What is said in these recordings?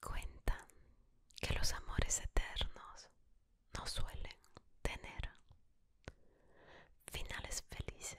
Cuenta que los amores eternos no suelen tener finales felices.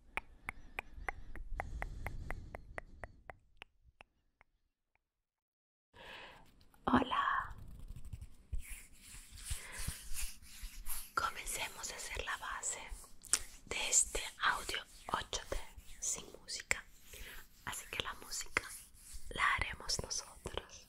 Hola. Comencemos a hacer la base de este audio 8D sin música. Así que la música la haremos nosotros.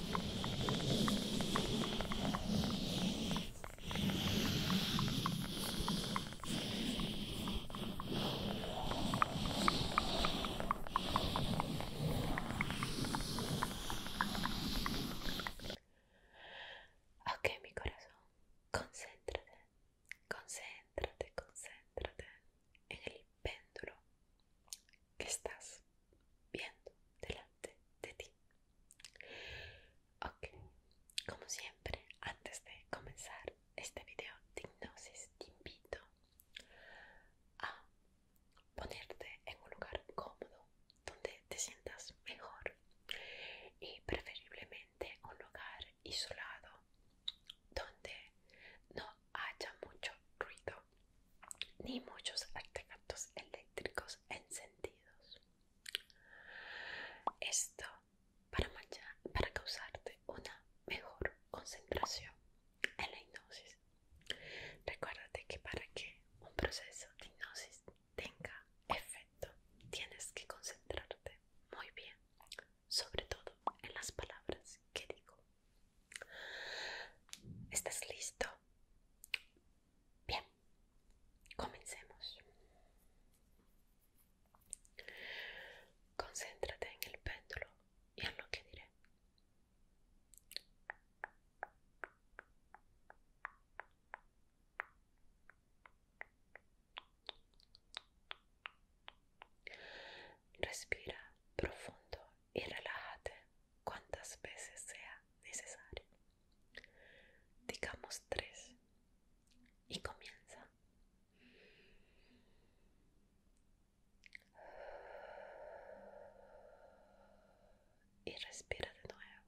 Ok, mi corazón, concéntrate, concéntrate, concéntrate en el péndulo que estás viendo delante de ti. Ok, como siempre, antes de comenzar este video de te invito a ponerte en un lugar cómodo donde te sientas mejor y preferiblemente un lugar isolado donde no haya mucho ruido ni muchos artefactos eléctricos encendidos. Esto para, causarte una mejor concentración en la hipnosis. Recuérdate que para que un proceso de hipnosis tenga efecto, tienes que concentrarte muy bien, sobre todo en las palabras que digo. ¿Estás listo Bien, comencemos. Concéntrate en el péndulo y en lo que diré. Respira profundo y relájate cuantas veces sea necesario. Digamos tres. Y comienza. Y respira de nuevo.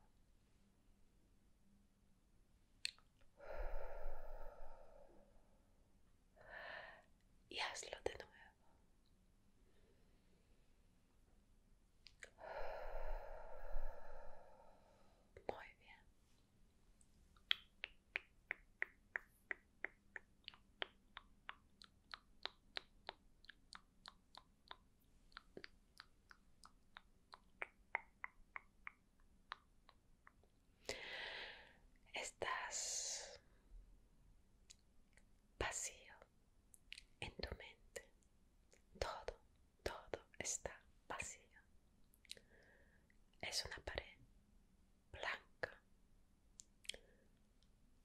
Y hazlo de nuevo. Muy bien. Estás vacío en tu mente. Todo, todo está vacío. Es una pared blanca.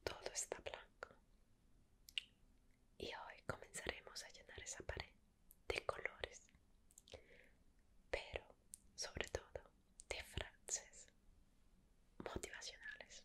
Todo está blanco. Y hoy comenzaremos a llenar esa pared de colores, pero sobre todo de frases motivacionales.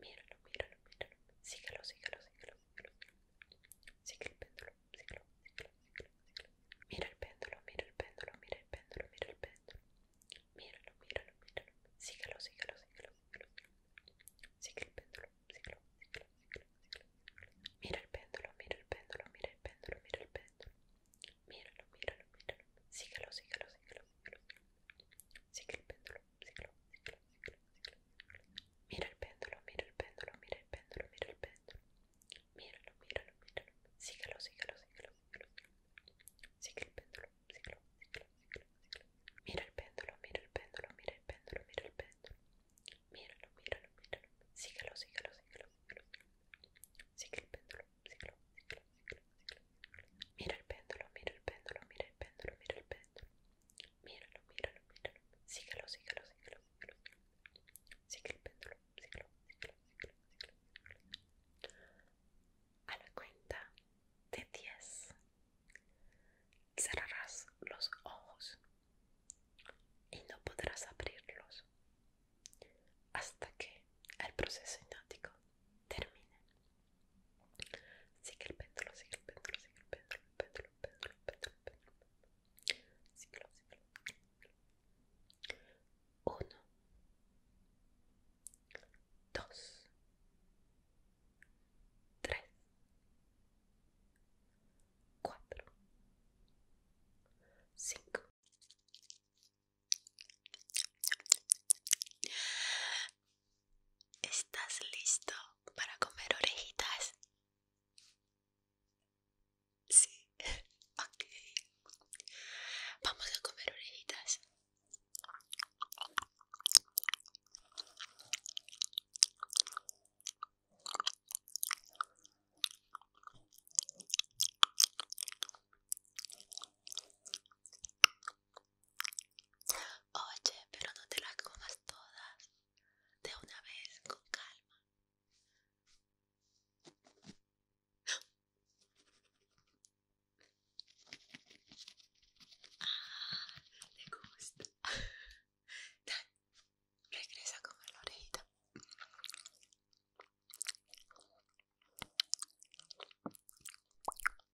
Míralo, míralo, míralo. Síguelo, síguelo, sígalo, el péndulo, Mira el péndulo, mira el péndulo, mira el péndulo, mira el péndulo. Míralo, míralo, míralo. Síguelo, síguelo, el péndulo, Mira el péndulo, mira el péndulo, mira el péndulo, mira el péndulo. Sigue el péndulo, Mira el péndulo, mira el péndulo, mira el péndulo, mira el péndulo. Míralo, míralo, míralo. Síguelo, síguelo, síguelo, Sigue péndulo, Mira el péndulo, mira el péndulo, mira el péndulo, péndulo, ciclo, ciclo, ciclo, ciclo, Mira el péndulo, mira el péndulo, mira el péndulo, mira el péndulo. Míralo, míralo, míralo. Síguelo, síguelo, síguelo, síguelo. sígalo. el péndulo, síguelo, síguelo, síguelo, síguelo, A la cuenta de 10 cerrarás los ojos y no podrás abrirlos hasta que el proceso hipnótico termine. Sigue el péndulo, sigue el péndulo, sigue el péndulo, péndulo, péndulo, péndulo, péndulo. ¿Estás listo para comer orejitas? Sí, ok. Vamos a comer orejitas. Oye, pero no te las comas todas de una vez con calma. Ah, te gusta. Regresa regresa con la orejita. No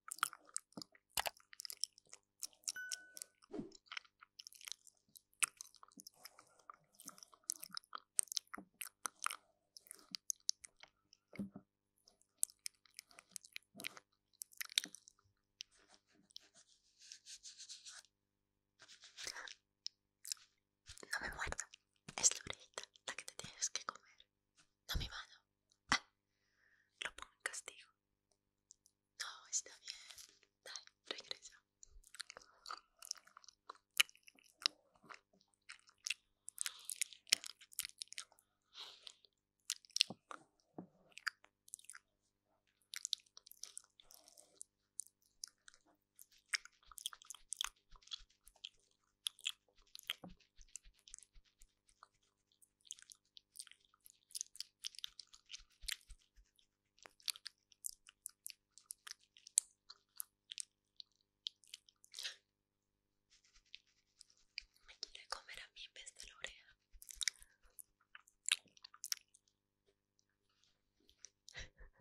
me muerda, es la orejita la que te tienes que comer, no mi mano lo pongo en castigo. No, está bien. regresa. Me quiere comer a mí en vez de la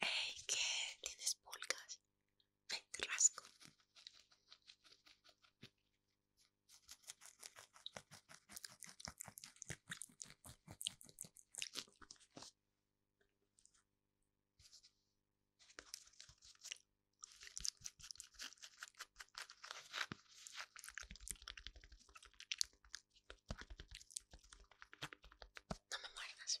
¡Ey! ¿Qué? ¿Tienes pulgas? te rasco. No me muerdas.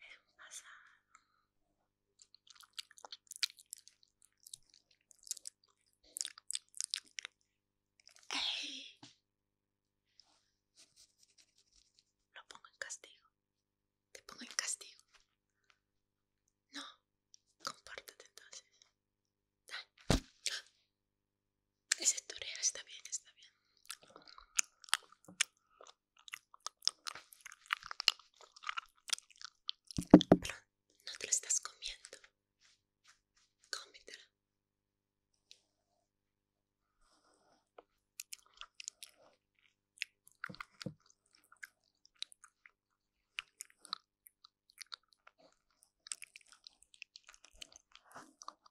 es un Lo pongo en castigo. Te pongo en castigo. No, compártate entonces. Ese tutorial está bien, está bien no te lo estás comiendo. Cómete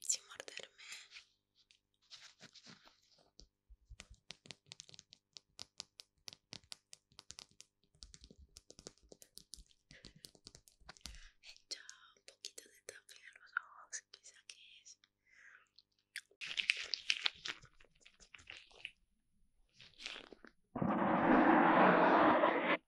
sin morderme. He hecho un poquito de tapping en los ojos, quizá que es.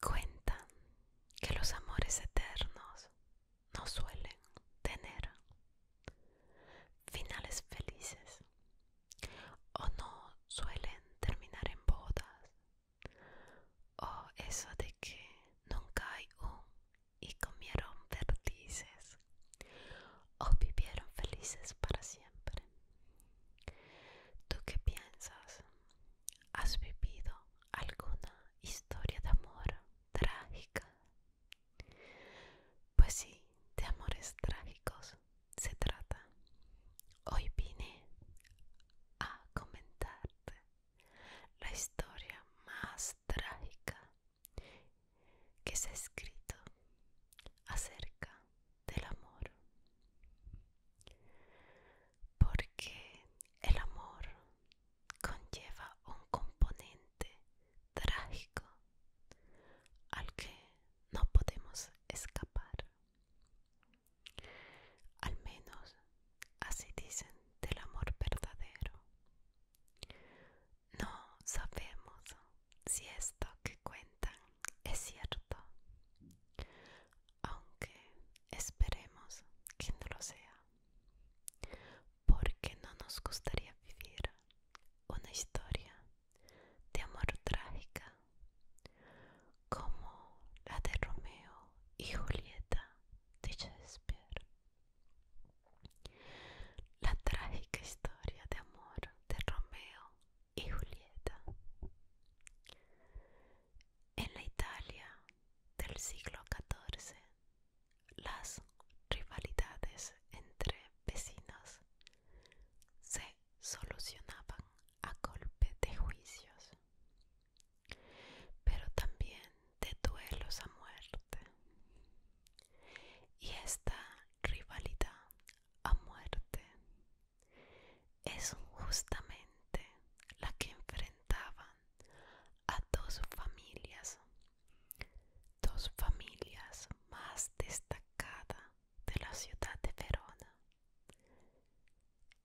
Cuenta que los amores eternos no suelen tener finales felices o no suelen terminar en bodas o eso de que nunca hay un y comieron vertices o vivieron felices para siempre. ¿Tú qué piensas? ¿Has vivido alguna historia de amor trágica pues sí, de amores trágicos se trata. Hoy vine a comentarte la historia más trágica que se ha escrito acerca del amor. Porque el amor conlleva un componente trágico al que no podemos escapar. Al menos así dicen del amor verdadero. No sabemos si esto que cuentan es cierto, aunque esperemos que no lo sea, porque no nos gustaría vivir una historia de amor trágica como la de Romeo y Julieta de Shakespeare. La trágica historia de amor de Romeo y Julieta. En la Italia del siglo XIV las rivalidades entre vecinos se solucionaban a golpe de juicios, pero también de duelos a muerte. Y esta rivalidad a muerte es justamente la que enfrentaban a dos familias dos familias más destacadas de la ciudad de Verona.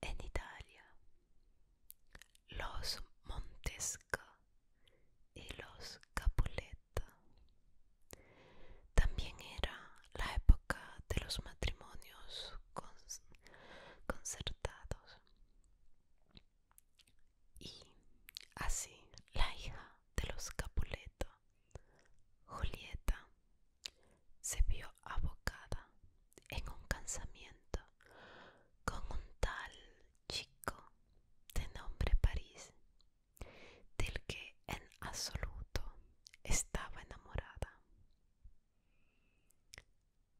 En Italia, los Montesca y los Capuleta. También era la época de los matrimonios concertados. Y así la hija de los Capuleto, Julieta, se vio abocada en un cansamiento con un tal chico de nombre París, del que en absoluto estaba enamorada,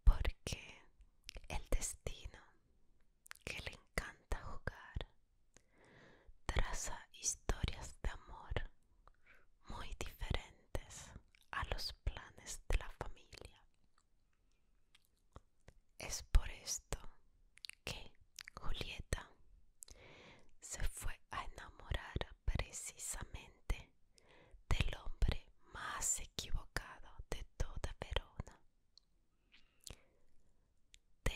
porque el destino que le encanta jugar. Traza historias de amor muy diferentes a los planes de la familia. Es por esto que Julieta se fue a enamorar precisamente del hombre más equivocado de toda Verona de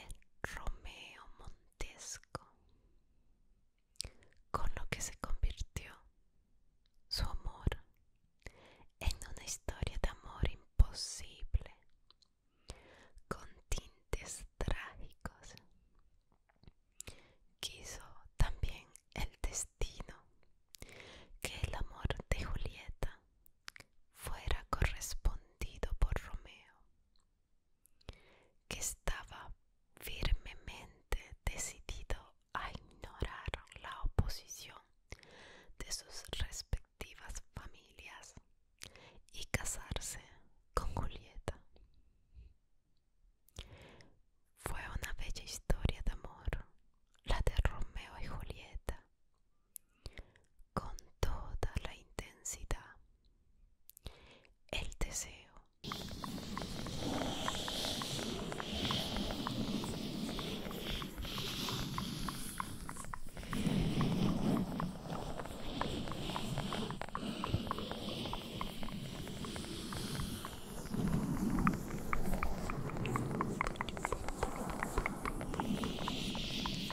Romeo Montesco, con lo que se convirtió su amor en una historia de amor imposible, con tintes trágicos. Quiso también el destino que el amor de Julieta fuera correspondido por Romeo, que estaba firmemente decidido a ignorar la oposición de sus respectivas familias y casarse con Julieta. Fue una bella historia de amor, la de Romeo y Julieta, con toda la intensidad el deseo.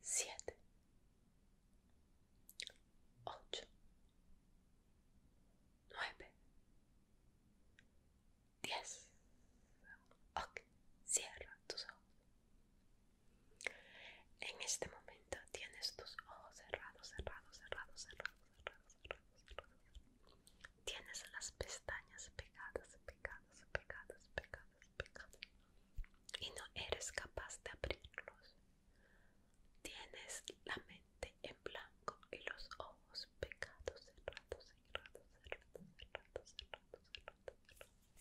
siete, ocho, nueve, diez. Ok, cierra tus ojos. En este momento tienes tus ojos cerrados, cerrados, cerrados, cerrados, cerrados, cerrados, tienes las pestañas pegadas, pegadas, pegadas, pegadas, pegadas y no eres capaz de abrirlos. Tienes la mente en blanco y los ojos pegados, cerrados, cerrados, cerrados, cerrados,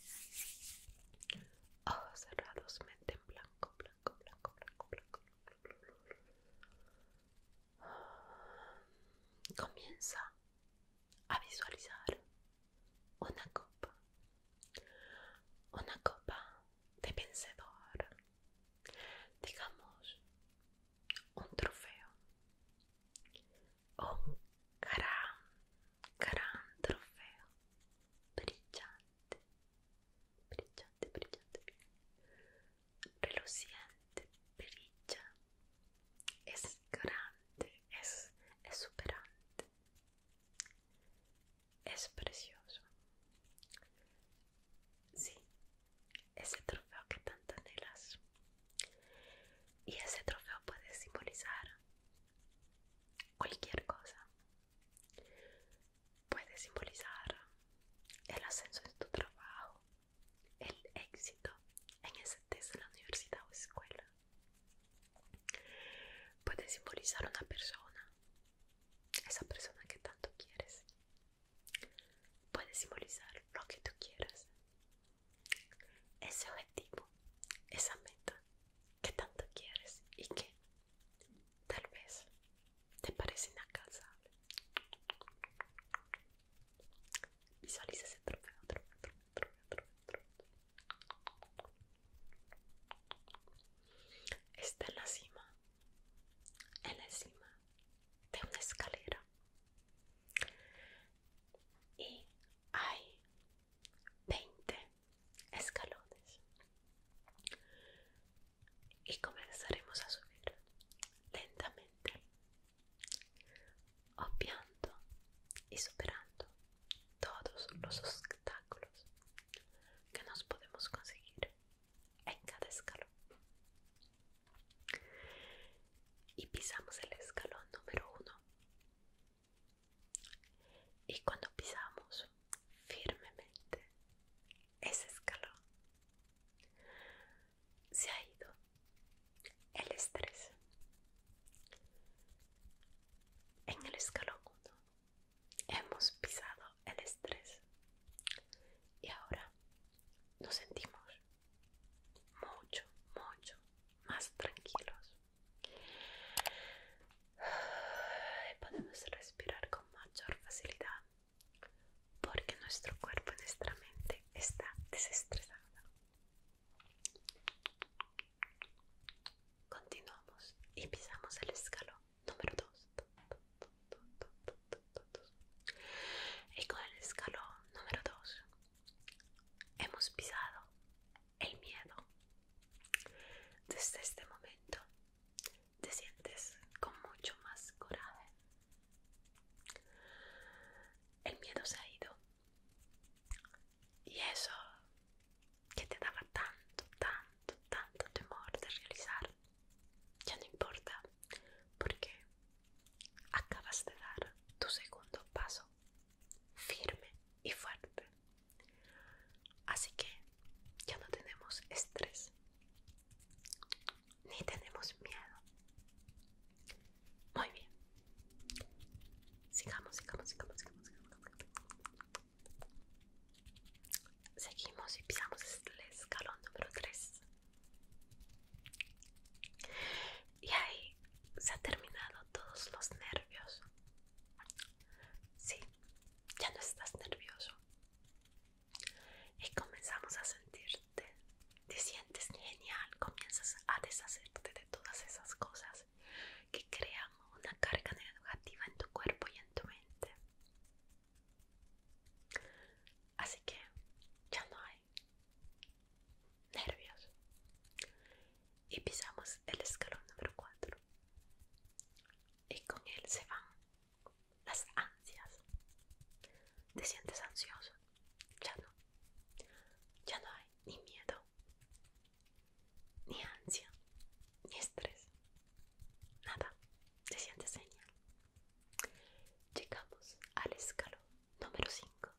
cerrados, cerrados, cerrados. Ojos cerrados, mente en blanco, blanco, blanco, blanco, blanco. blanco. Comienza a visualizar una copa, una copa de vencedor, digamos un trofeo un gran, gran trofeo brillante, brillante, brillante, reluciente brilla, es grande, es superante es precioso. Sí, ese trofeo que tanto anhelas. Y ese trofeo puede simbolizar cualquier cosa. Puede simbolizar el ascenso de tu trabajo, el éxito en ese test de la universidad o escuela puede simbolizar una persona, esa persona que tanto quieres. Puede simbolizar lo que tú quieras, ese objetivo, esa meta que tanto quieres y que tal vez te parece inalcanzable. Visualiza ese trofeo, Está en la cima, en la cima de una escalera. Y hay 20 escalones. Y comenzaremos a subir lentamente, obviando y superando todos los obstáculos que nos podemos conseguir en cada escalón. Y pisamos el escalón número uno. Y cuando pisamos firmemente ese escalón, se ha ido el estrés. En el escalón 1 hemos pisado el estrés y ahora nos sentimos mucho, mucho más tranquilos. Y podemos respirar con mayor facilidad porque nuestro cuerpo y nuestra mente está desestresada. Continuamos y pisamos el escalón número 2. Y con el escalón número 2 hemos pisado el miedo. Desde este momento te sientes con mucho más coraje. El miedo se ha ido. Y eso que te daba tanto, tanto, tanto temor de realizar, ya no importa, porque acabas de dar tu segundo paso firme y fuerte. Así que ya no tenemos estrés, ni tenemos miedo, muy bien. Sigamos, sigamos, sigamos, sigamos, sigamos. Seguimos y pisamos el escalón número 3. Y ahí se han terminado todos los nervios. Sí, ya no estás nervioso. Y comenzamos a sentirte. Te sientes genial. Comienzas a deshacerte de todas esas cosas que creamos una carga negativa en tu cuerpo y en tu mente. Así que ya no hay nervios. Y pisamos el escalón número 4. Y con él se van las ansias. ¿Te sientes ansioso? Ya no. Ya no hay ni miedo ni ansia, ni estrés, nada, se siente señal Llegamos al escalón número 5.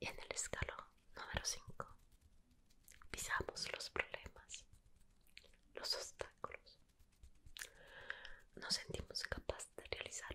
Y en el escalón número 5 pisamos los problemas, los obstáculos. Nos sentimos capaz de realizar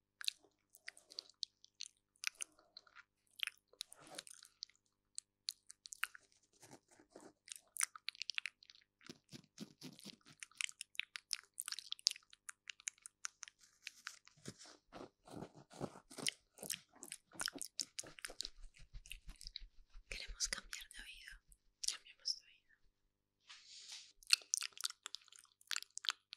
Queremos cambiar de oído. Cambiamos de oído.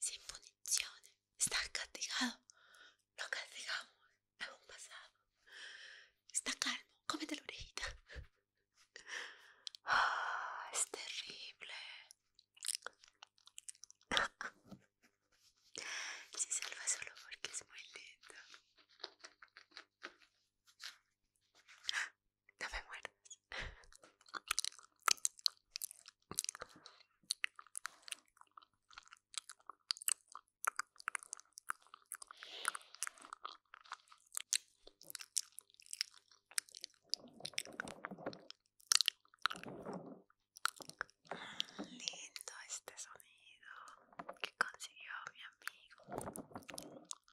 Sin puniciones. Está castigado. Lo castigamos Hemos un pasado. Está calmo. Cómete la orejita. Ah, es terrible. Se salva solo porque es muy lento. No me muerdas. Lindo este sonido que consiguió mi amigo.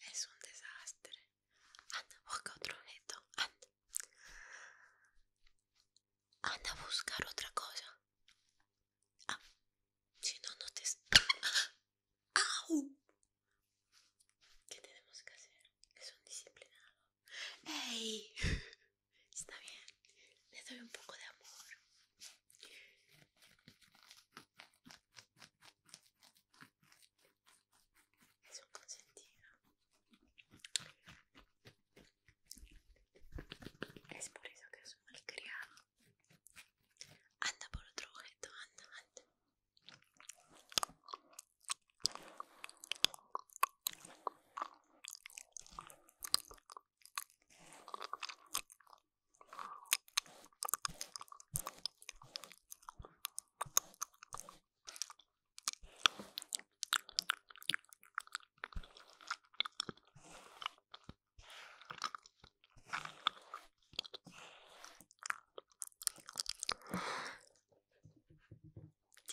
Es un desastre. Anda, busca otro objeto. Anda. Anda a buscar otra cosa. Ah, si no, no te... ¡Au! ¿Qué tenemos que hacer? Es un disciplinado. ¡Ey! Está bien, le doy un poco de amor. Es un Es por eso que es un malcriado. Anda por otro objeto, anda, anda. Te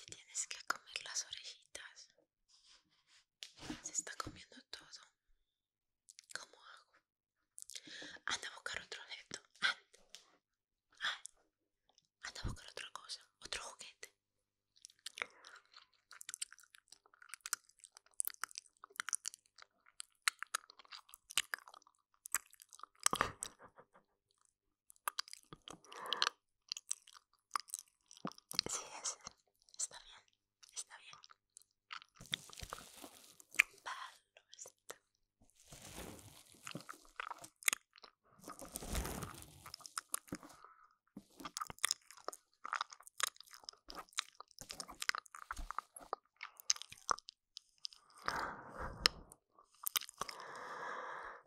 tienes que comer las orejitas. Se está comiendo todo. ¿Cómo hago? Anda a buscar otro objeto. Anda. Anda a buscar otra cosa. Otro juguete. Sí, es, está bien, está bien.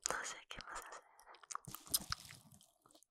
No sé qué más hacer.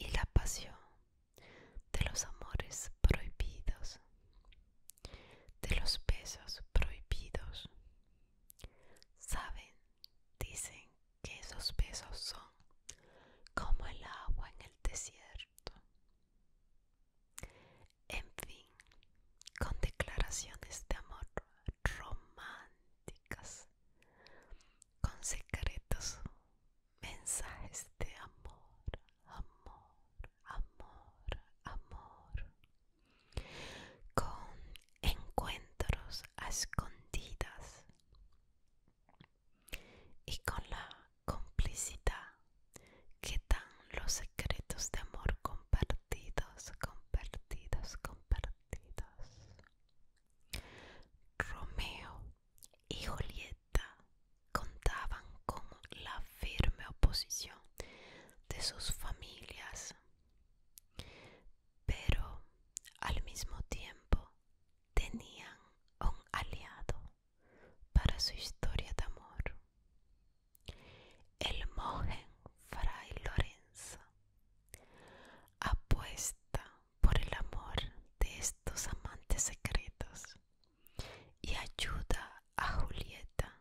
Y la pasión de los amores prohibidos, de los besos prohibidos. Saben, dicen que esos besos son como el agua en el desierto. En fin, con declaraciones de amor románticas, con secretos mensajes de amor, amor, amor, amor, con encuentros escondidas y con la complicidad que dan los secretos de amor compartidos, compartidos, compartidos. Romeo y Julieta contaban con la firme oposición de sus familias, pero al mismo tiempo tenían un aliado para su historia de amor, el mojen Fray Lorenzo. Apuesta por el amor de estos amantes secretos y ayuda a Julieta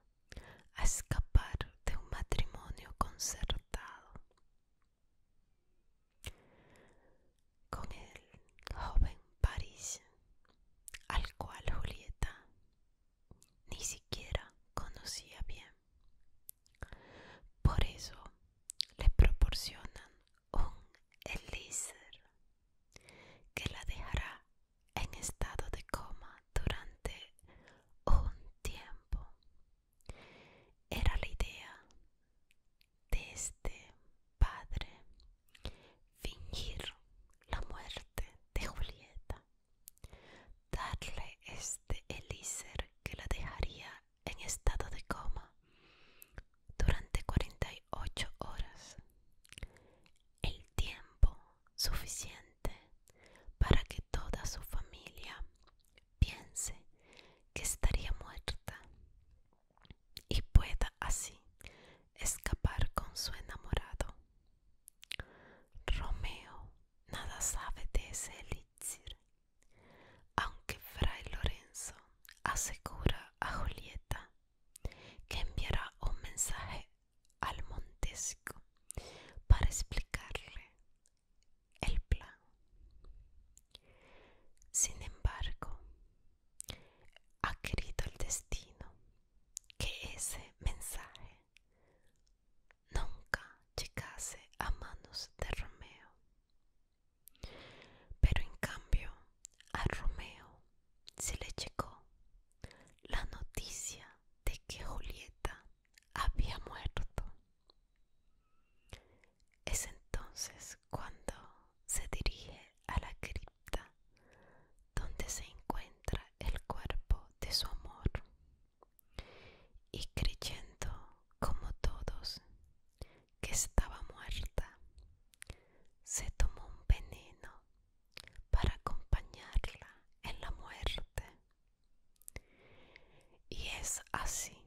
a escapar de un matrimonio concertado. Con el joven París, al cual Julieta ni siquiera conocía bien. Por eso le proporcionan un elixir que la dejará en estado de coma durante un tiempo. Era la idea de este padre fingir la muerte de Julieta, darle este elixir que la dejaría en estado de coma durante 48 horas, el tiempo suficiente para que toda su familia piense que estaría muerta y pueda así escapar con su enamorado. Romeo nada sabe de ese elixir, aunque Fray Lorenzo asegura a Julieta que enviará un mensaje al Montesco para explicarle el plan. Sin embargo, ha querido el destino que ese mensaje nunca llegase a manos de Romeo. Pero en cambio, a Romeo se le llegó la noticia de que Julieta había muerto. Es entonces cuando se dirige a la cripta donde se encuentra el cuerpo de su amor y creyendo como todos que estaba muerta. Se tomó un veneno para acompañarla en la muerte. Y es así,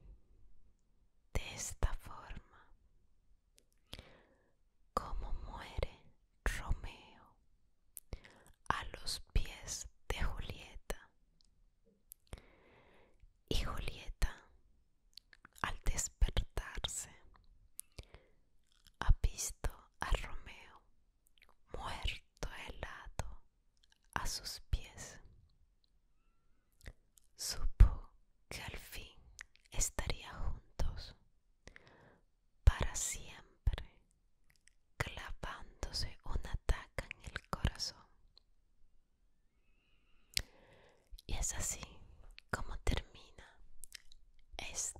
de esta forma, como muere Romeo a los pies de Julieta. Y Julieta al despertarse, ha visto a Romeo muerto helado a sus pies. Supo que al fin estaría juntos para siempre, clavándose una taca en el corazón. Y es así como termina esta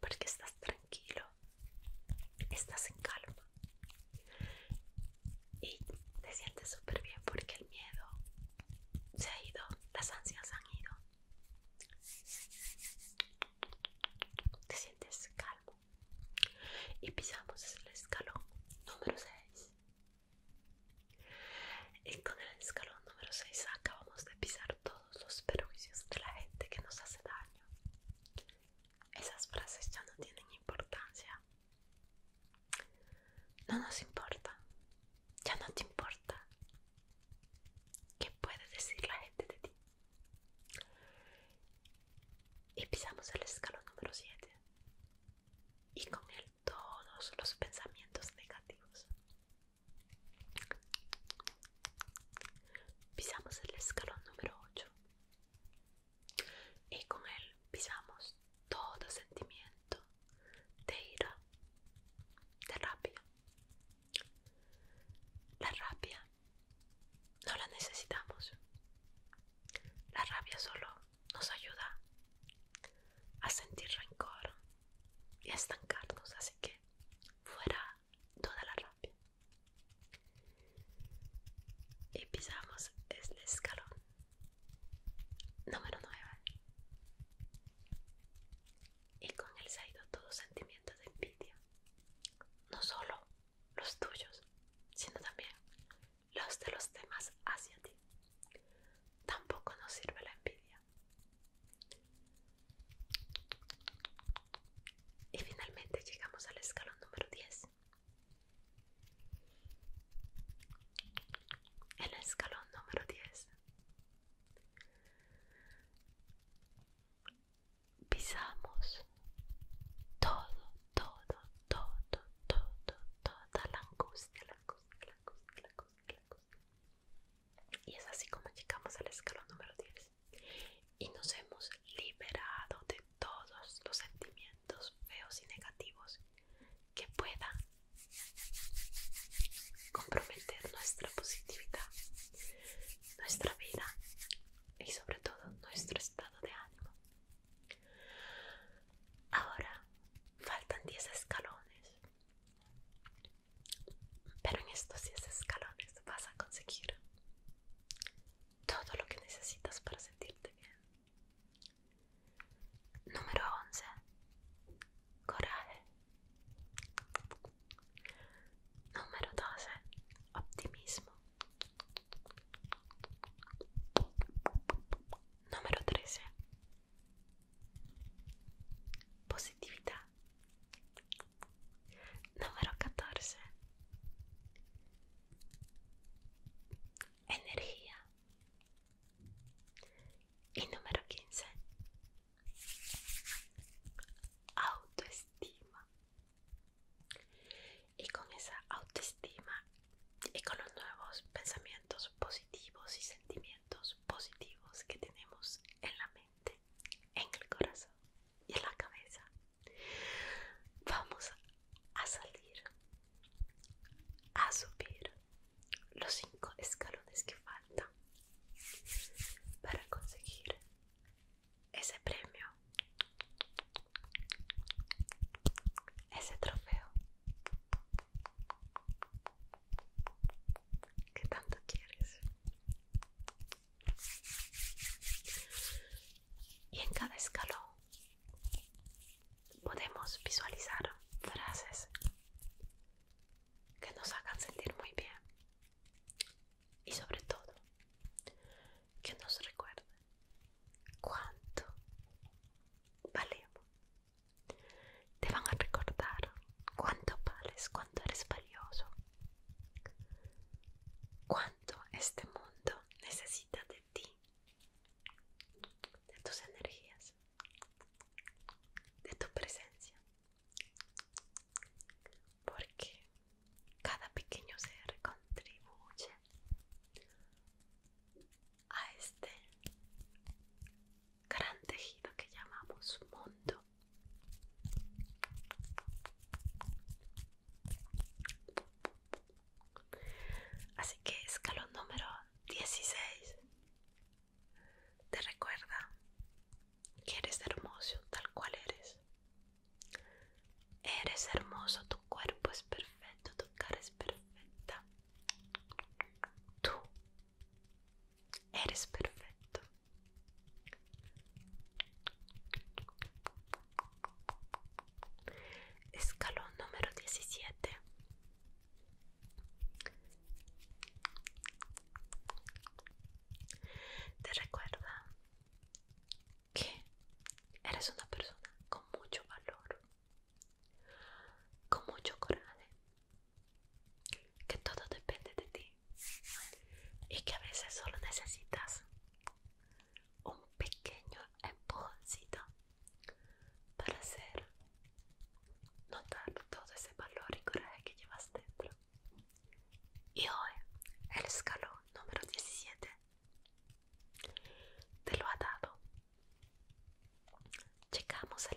porque estás tranquilo, estás en calma y te sientes súper bien porque el miedo se ha ido, las ansias han ido. Te sientes calmo y pisamos el escalón número 6. Y con el escalón número 6 acabamos de pisar todos los perjuicios de la gente que nos hace daño. Esas frases ya no tienen importancia. No nos importa. Ya no te importa. ¿Qué puede decir la gente de ti? Y pisamos el escalón número 7. Y con él todos los pensamientos negativos. Pisamos el escalón número 8 y con él pisamos todo sentimiento de ira, de rabia. La rabia no la necesitamos. La rabia solo nos ayuda a sentir rencor y a estancarnos, así que fuera toda la rabia. Y pisamos este escalón número 9. Y con él se ha ido todo sentimiento de envidia. No solo los tuyos, sino también los de los demás hacia ti. Tampoco nos sirve la envidia. Y finalmente llegamos al escalón número 10. El escalón número 10. Pisamos todo, todo, todo, todo, toda la angustia, la angustia, la angustia, la angustia, la angustia. Y es así como llegamos al escalón número 10 y nos hemos liberado de todos los sentimientos feos y negativos que puedan comprometer nuestra positividad, nuestra vida y sobre todo nuestro estado de ánimo. Ahora faltan 10 escalones, pero en estos 10 escalones vas a conseguir todo lo que necesitas para sentirte bien. Número 11. Coraje. Número 12. Optimismo. Número 13. Positividad. Número 14. Energía. Y número 15. Autoestima. Y con esa autoestima y con los nuevos pensamientos positivos y sentimientos positivos que tenemos en la mente, en el corazón y en la cabeza, Vamos a salir, a subir los cinco escalones que faltan para conseguir ese premio, ese trofeo que tanto quieres. Y en cada escalón podemos visualizar frases que nos hagan sentir muy bien y sobre todo que nos recuerden cuánto valemos. Te van a recordar cuánto vales, cuánto eres valioso, cuánto este mundo necesita de ti, de tus energías, de tu presencia. Porque cada pequeño ser contribuye a este gran tejido que llamamos mundo. Así que escalón número 16 te recuerda que eres hermoso tal cual eres. Eres hermoso, tu cuerpo es perfecto, tu cara es perfecta. Tú eres perfecto. Escalón número 17. Te recuerda que eres una persona con mucho valor, con mucho coraje, que todo depende de ti y que a veces solo necesitas un pequeño empujoncito para hacer notar todo ese valor y coraje que llevas dentro. Y hoy el escalón número 17 te lo ha dado. Llegamos al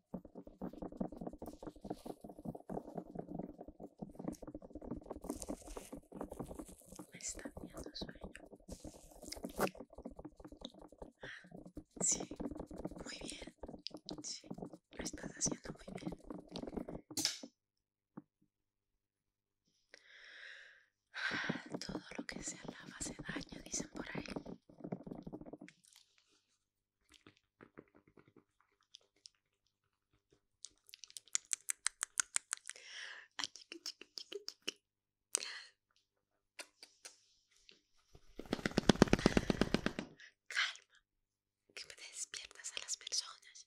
Me viendo sueño. Ah, sí, muy bien. Sí, lo estás haciendo muy bien. Ah, todo lo que se lava se daño dicen por ahí. Calma, que me despiertas a las personas.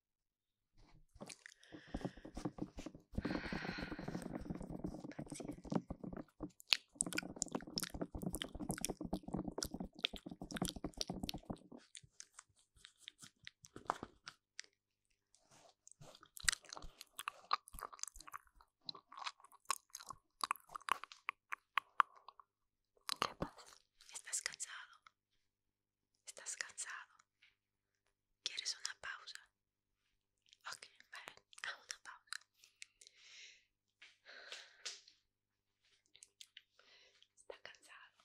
¿Qué pasa? ¿Estás cansado? ¿Estás cansado? ¿Quieres una pausa? Ok, vale, hago una pausa. Está cansado.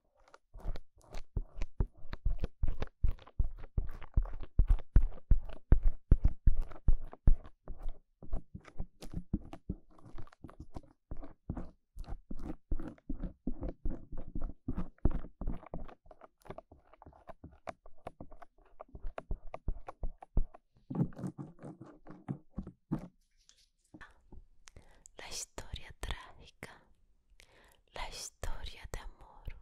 La historia trágica la historia de amor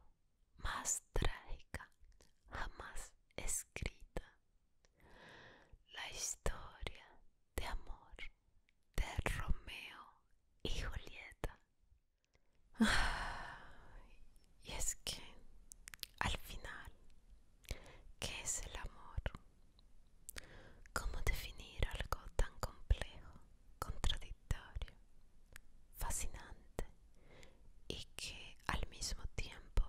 más trágica jamás escrita. La historia de amor de Romeo y Julieta. y es que al final, ¿qué es el amor? ¿Cómo definir algo tan complejo? Contradictorio, fascinante y que al mismo tiempo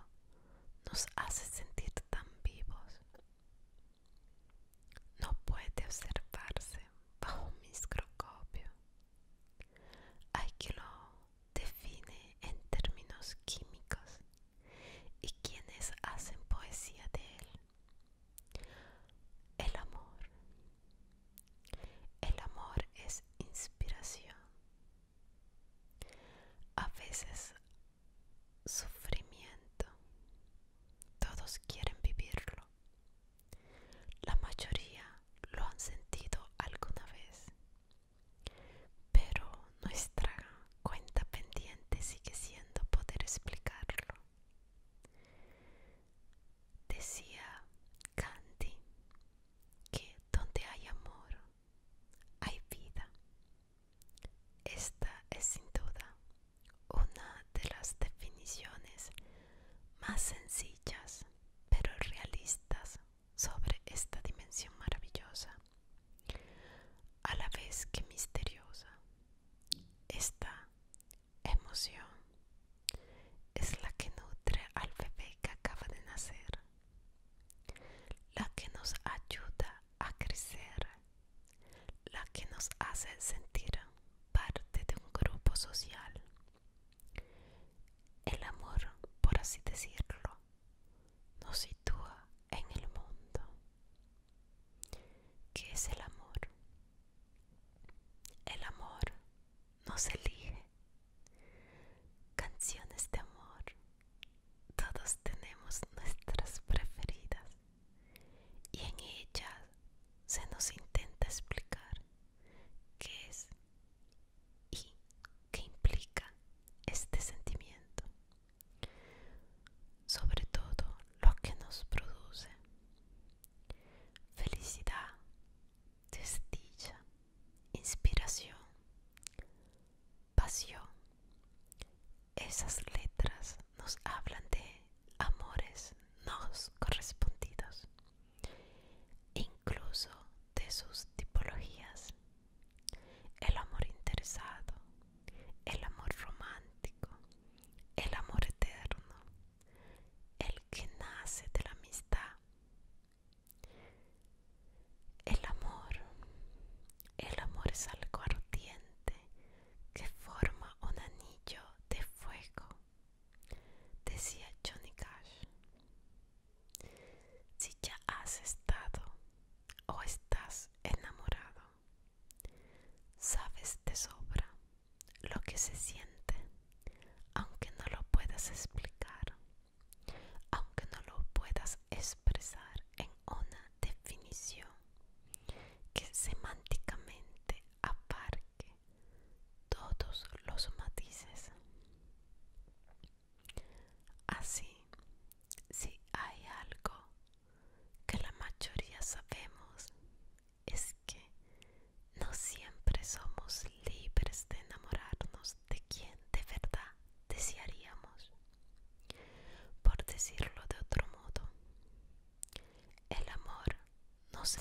nos hace sentir tan vivos. No puede observarse bajo un microscopio. Hay quien lo define en términos químicos y quienes hacen poesía de él el amor. El amor es inspiración. A veces sufrimiento. Todos quieren vivirlo. La mayoría lo han sentido alguna vez. Pero nuestra cuenta pendiente sigue siendo poder explicarlo. Decía Candy, que donde hay amor, hay vida. Esta es sin duda una de las definiciones más sencillas pero realistas sobre esta dimensión maravillosa, a la vez que misteriosa. Esta emoción es la que nutre al bebé que acaba de nacer, la que nos ayuda a crecer, la que nos hace sentir parte de un grupo social. El amor, por así decirlo, nos sitúa en el mundo. ¿Qué es el amor? El amor nos elige. Canciones de amor. Todos tenemos nuestras preferidas y en ellas se nos intenta explicar qué es y qué implica este sentimiento. Sobre todo lo que nos produce felicidad, desdicha, inspiración, pasión. Esas letras nos hablan de amores no correspondidos, incluso de sus tipologías. El amor interesado, el amor romántico, el amor eterno, el que nace de la amistad. El amor, el amor es algo ardiente que forma un anillo de fuego, decía Johnny Cash. Si ya has estado o estás enamorado, sabes de sobra lo que se siente, aunque no lo puedas explicar, aunque no lo puedas expresar en una definición que semánticamente aparque todos los matices. Así, si hay algo que la mayoría sabemos es que no siempre somos libres de enamorarnos de quien de verdad desearíamos. Por decirlo de otro modo, el amor no se...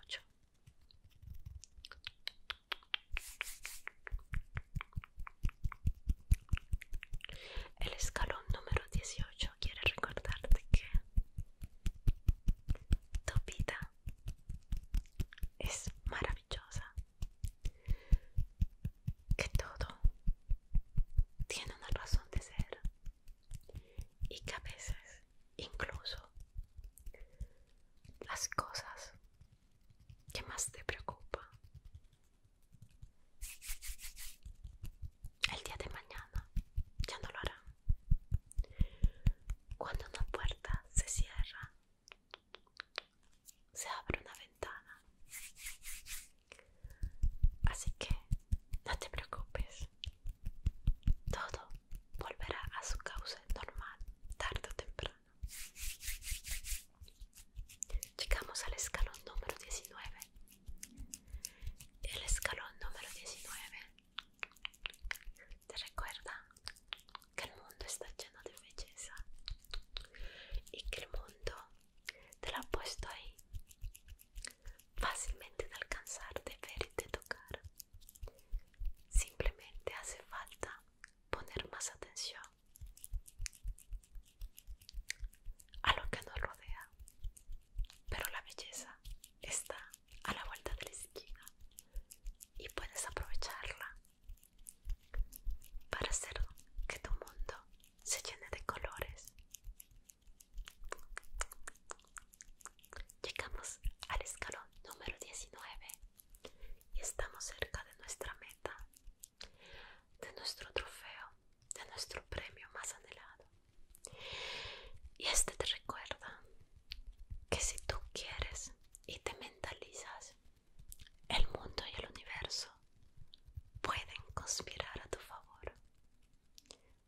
el escalón número 18 quiere recordarte que tu vida es maravillosa, que todo tiene una razón de ser y que a veces incluso las cosas que más te preocupan el día de mañana ya no lo harán cuando una puerta se cierra se abre una ventana así que no te preocupes todo volverá a su causa normal tarde o temprano. Llegamos al escalón número 19. El escalón número 19 te recuerda que el mundo está lleno de belleza y que el mundo te lo ha puesto ahí fácilmente de alcanzar, de ver y de tocar. Simplemente hace falta poner más atención a lo que nos rodea. Pero la belleza está a la vuelta de la esquina y puedes aprovecharla para hacer que tu mundo se llene de colores Llegamos al escalón número 19 y estamos cerca de nuestra meta, de nuestro trofeo, de nuestro premio más anhelado. Y este te recuerda que si tú quieres y te mentalizas, el mundo y el universo pueden conspirar a tu favor.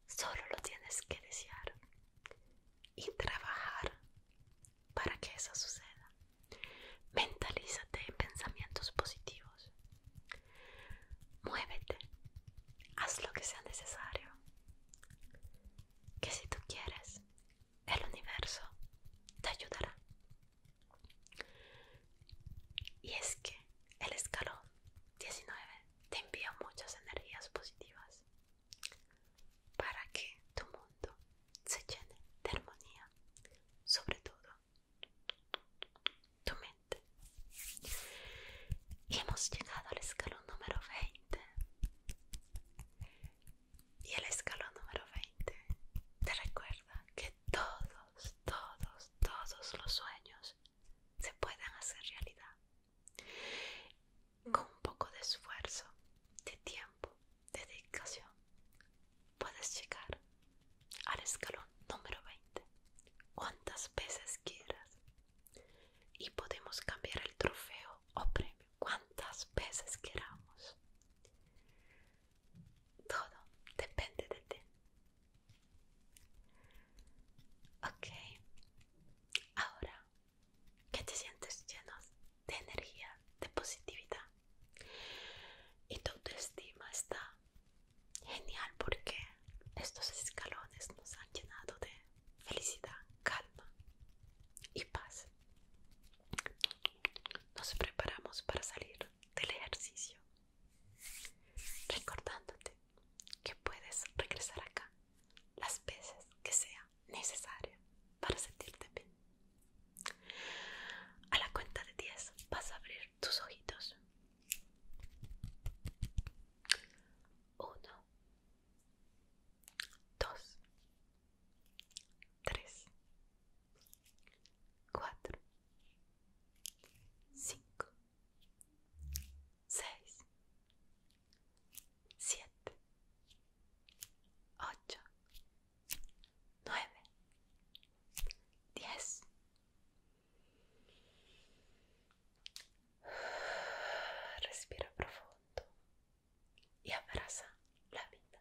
Solo lo tienes que desear y trabajar para que eso suceda. Mentalízate en pensamientos positivos. Muévete. Haz lo que sea necesario. Que si tú quieres, el universo te ayudará. Y es que el escalón 19 te envía muchas energías positivas para que tu mundo se llene de armonía, sobre todo tu mente. Y hemos llegado al escalón número 20. Y el escalón número 20 te recuerda que todos, todos, todos los sueños se pueden hacer realidad. Con un poco de esfuerzo, de tiempo, de dedicación, puedes llegar al escalón número 20 cuantas veces quieras. Y podemos cambiar el trofeo o premio cuantas veces queramos. Todo depende de ti. Ok, ahora que te sientes lleno de energía, de positividad. Y tu autoestima está genial porque estos escalones nos han llenado de felicidad, calma y paz. Nos preparamos para salir del ejercicio, recordándote que puedes regresar acá las veces que sea Necesario para sentirte bien. A la cuenta de 10 vas a abrir tus ojitos. 1, 2, 3, 4, 5, 6, siete, ocho, nueve, diez. Respira profundo y abraza la vida.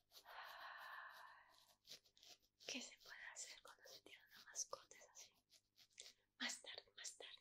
¿Qué se puede hacer cuando se tiran una así. Más tarde, más tarde.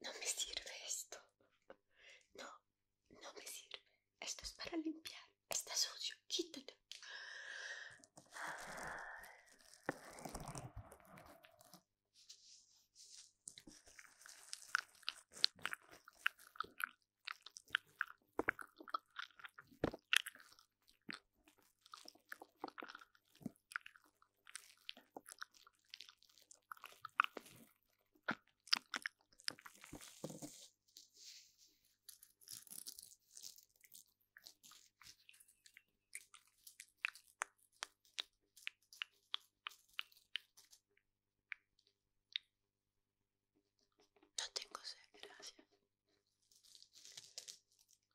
No me sirve esto. No, no me sirve. Esto es para limpiar. Está sucio. quítate. No tengo sed, gracias.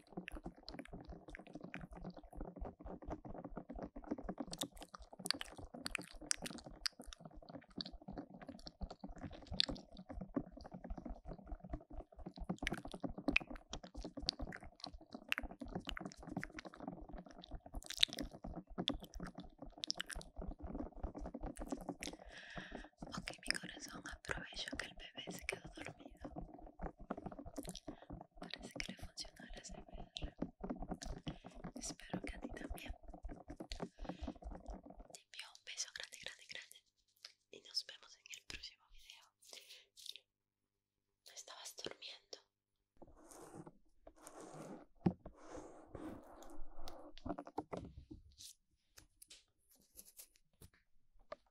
Ok, mi corazón, aprovecho que el bebé se quedó dormido Parece que le funcionó la Espero que a ti también. Te envío un beso grande, grande, grande. Y nos vemos en el próximo video. estabas durmiendo.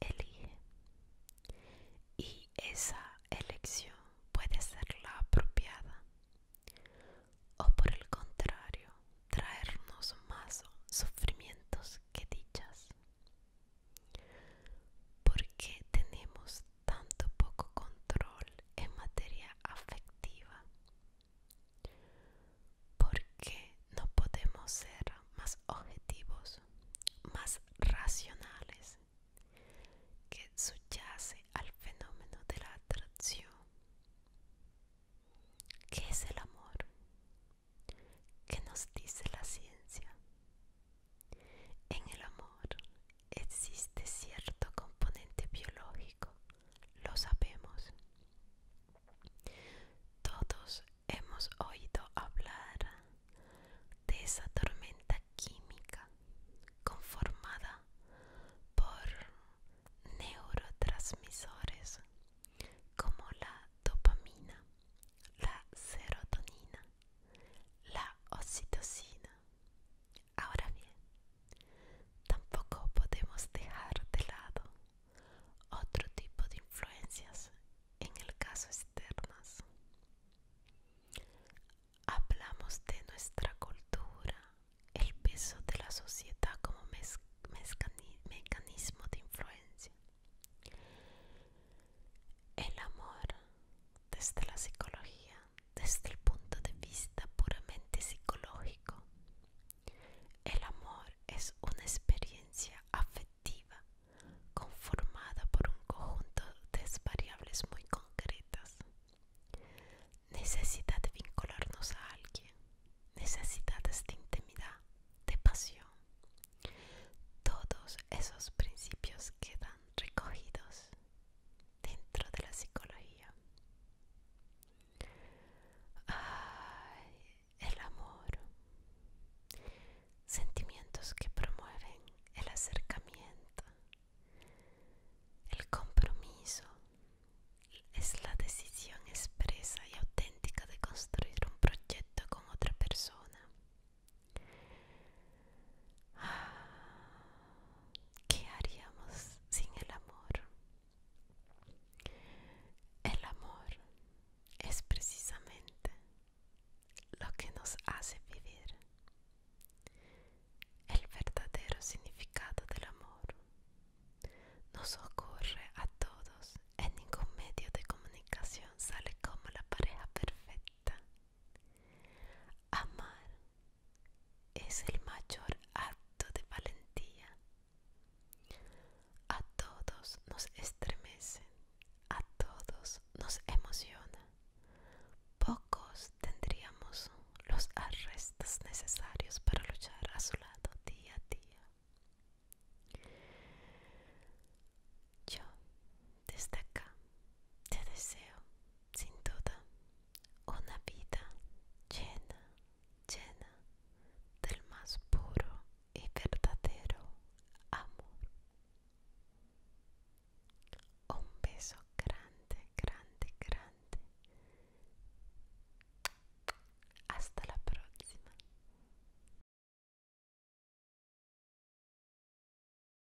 Elige. Y esa elección puede ser la apropiada o por el contrario traernos más sufrimientos que dichas. ¿Por qué tenemos tanto poco control en materia afectiva? ¿Por qué no podemos ser más objetivos, más racionales, que subyace al fenómeno de la atracción? ¿Qué es el amor? ¿Qué nos dice la ciencia? En el amor existe cierto componente biológico, lo sabemos. Todos hemos oído hablar de esa tormenta química conformada por neurotransmisores como la dopamina, la serotonina la oxitocina. Ahora bien, tampoco podemos dejar de lado otro tipo de influencias, en el caso externas. Hablamos de nuestra cultura, el peso de la sociedad como mecanismo de influencia. El amor desde la psicología, desde el punto de vista puramente psicológico. El amor es una experiencia afectiva conformada por un conjunto de variables muy concretas. Necesidad de vincularnos a alguien, necesidades de intimidad, de pasión. Todos esos principios quedan recogidos dentro de la psicología. el amor. Sentimientos que promueven el acercamiento. El compromiso es la decisión expresa y auténtica de construir un proyecto con otra persona. ¿Qué haríamos sin el amor? El amor es precisamente lo que nos hace vivir. El verdadero significado del amor nos ocurre a todos en ningún medio de comunicación sale como la pareja perfecta Amar es el mayor acto de valentía. A todos nos estremece, a todos nos emociona. Pocos tendríamos los arrestos necesarios para luchar a su lado día a día. Yo desde acá te deseo sin duda una vida llena, llena del más puro y verdadero amor. Un beso grande, grande, grande. Hasta la próxima.